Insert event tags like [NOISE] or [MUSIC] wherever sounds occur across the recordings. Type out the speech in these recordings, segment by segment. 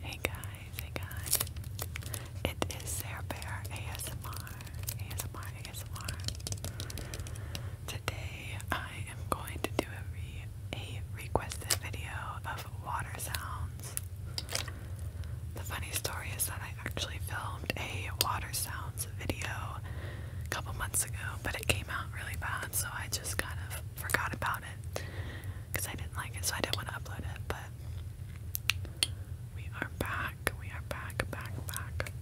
Hey guys, hey guys. It is Sarah Bear ASMR. ASMR, ASMR. Today I am going to do a, a requested video of water sounds. The funny story is that I actually filmed a water sounds video a couple months ago, but it came out really bad, so I just kind of forgot about it because I didn't like it, so I didn't want to upload it. But we are back. We are back, back, back.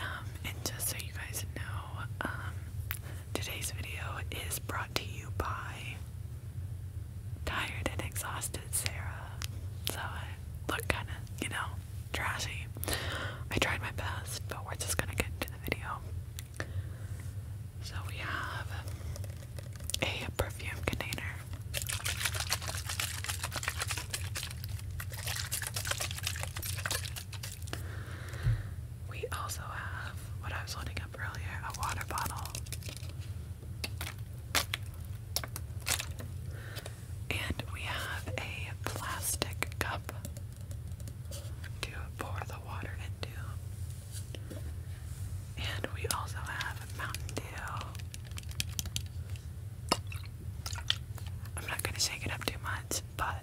Um, and just so you guys know, um, today's video is brought to you by Tired and Exhausted Sarah. So I look kind of, you know, trashy. I tried my best, but we're just gonna get into the video. So we have a perfume container. We also have what I was holding up earlier, a water bottle. And we have a plastic cup to pour the water into. And we also have Mountain Dew. I'm not gonna shake it up too much, but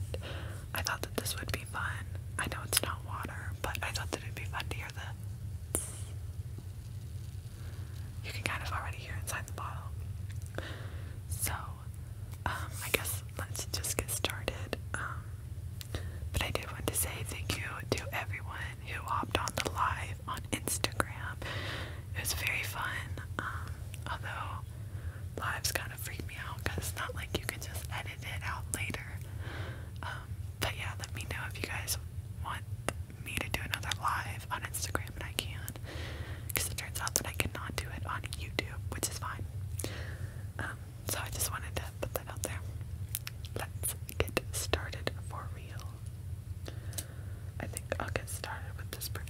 I thought that this would be fun. I know it's not water, but I thought that it'd be fun to hear the. You can kind of already hear inside the bottle. So, um, I guess let's just get started. Um, but I did want to say thank you to everyone who opted on the live on Instagram. It was very fun, um, although lives kind of freak me out because it's not like you can just edit it out later. Um, but yeah, let me know if you guys want me to do another live on Instagram, and I can. Because it turns out that I cannot do it on YouTube, which is fine. Um, so I just wanted to put that out there. Let's get started for real. I think I'll get started with this perfume.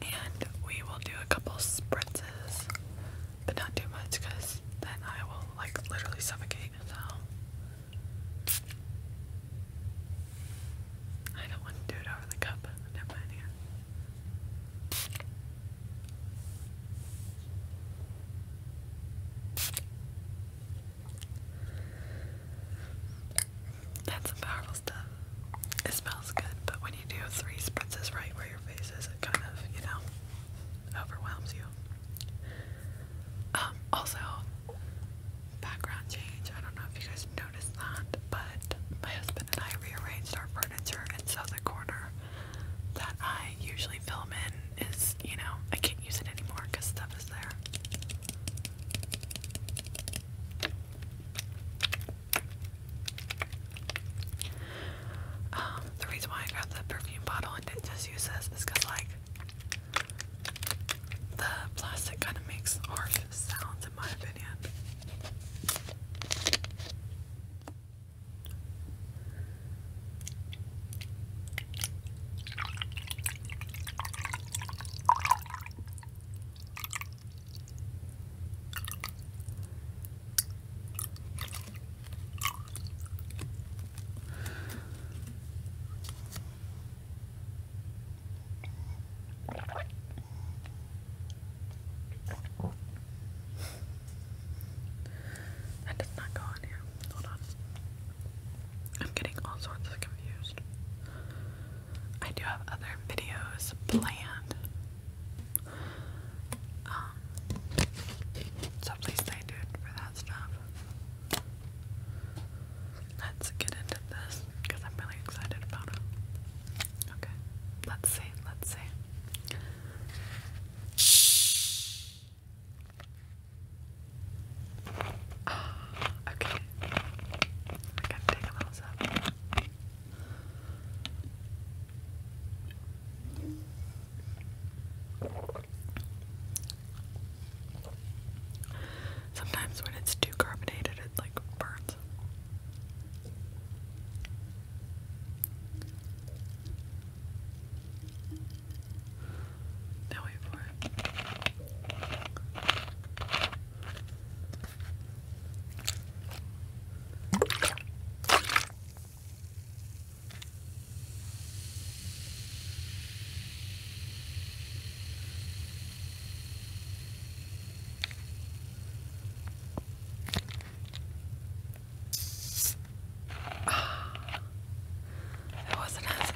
And we will do a couple spritzes, but not too much because then I will like literally suffocate. So I don't want to do it over the cup. Never mind that's some powerful stuff. It smells good, but when you do three spritzes right where your face is, it kind of, you know, overwhelms you. Um, also, background change. I don't know if you guys noticed that, but my husband and I rearranged our furniture, and so the corner that I usually film in is, you know, I can't use it anymore because stuff is there. Um, the reason why I got the perfume bottle and didn't just use this is because, like, the plastic kind of makes harsh sounds, in my opinion. That does not go on here. Hold on. I'm getting all sorts of confused. I do have other videos planned. Um, so please stay tuned for that stuff. Let's get into this because I'm really excited about it. Okay, let's see, let's see. [GASPS] okay. I can take a little sip. Sometimes when it's too carbonated, it like burns. Now wait for it. Ah, it wasn't as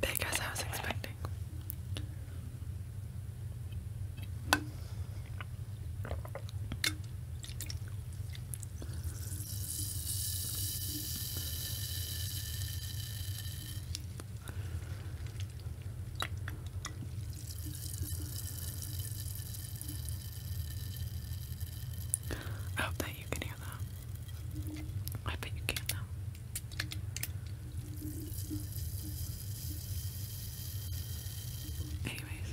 big as I was expecting. I that you can hear that. I bet you can though. Anyways.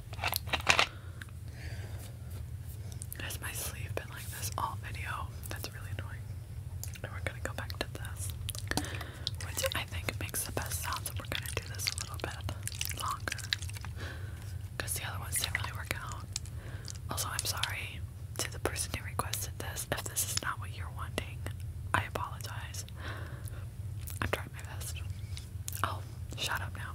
Has my sleeve been like this all video? That's really annoying. And we're gonna go back to this, which I think makes the best sound, so we're gonna do this a little bit longer. Because the other ones didn't really work out. Also, I'm sorry to the person who requested this. If this is not what you're wanting, I apologize. I'm trying my best. i oh, shut up now.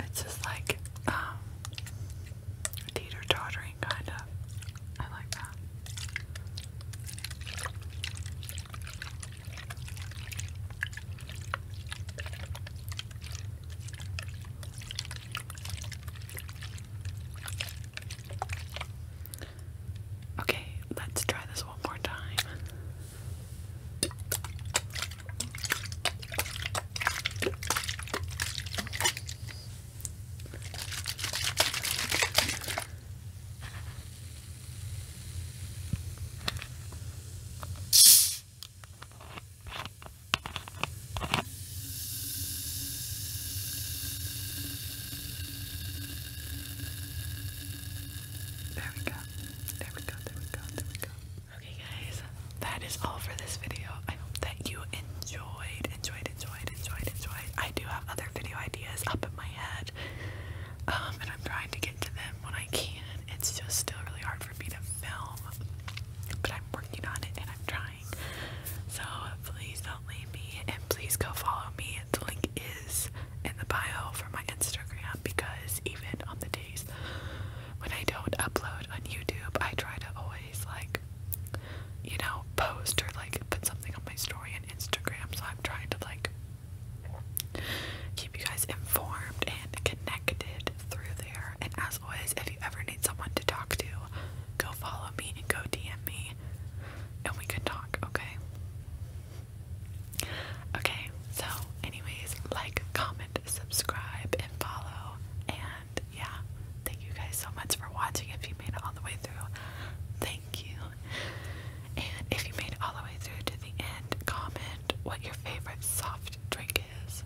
It's just like um, teeter tottering kind of. I like that. Okay, let's try this one more time. There we go. There we go. There we go. There we go. Okay, guys, that is all for this video. I hope that you enjoyed, enjoyed, enjoyed, enjoyed, enjoyed. I do have other video ideas up in my head, um, and I'm trying to get to them when I can. It's just still really hard for me to film, but I'm working on it and I'm trying. So please don't Lonely Me, and please go follow me. The link is in the bio for my Instagram because even on the days when I don't upload on YouTube, I try to always like, you know, post or like put something on my story on Instagram. So I'm trying to like keep you guys informed and connected through there. And as always, if you ever need someone to talk to, go follow me and go DM me and we could talk, okay? Okay, so, anyways, like, comment, subscribe, and follow. And yeah, thank you guys so much for watching. If you made it all the way through, thank you. And if you made it all the way through to the end, comment what your favorite soft drink is.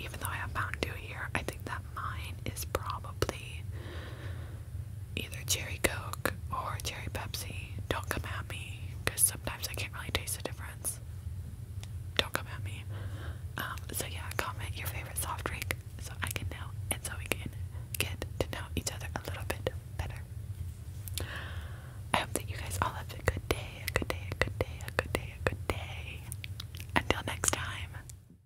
Even though I have Mountain Dew here, I think that mine is probably either cherry coke or cherry Pepsi. Don't come at me because sometimes I can't really taste the difference. Don't come at me. Um, so, yeah, comment your favorite soft drink so I can know and so we can get to know each other a little bit better. I hope that you guys all have a good day, a good day, a good day, a good day, a good day. Until next time.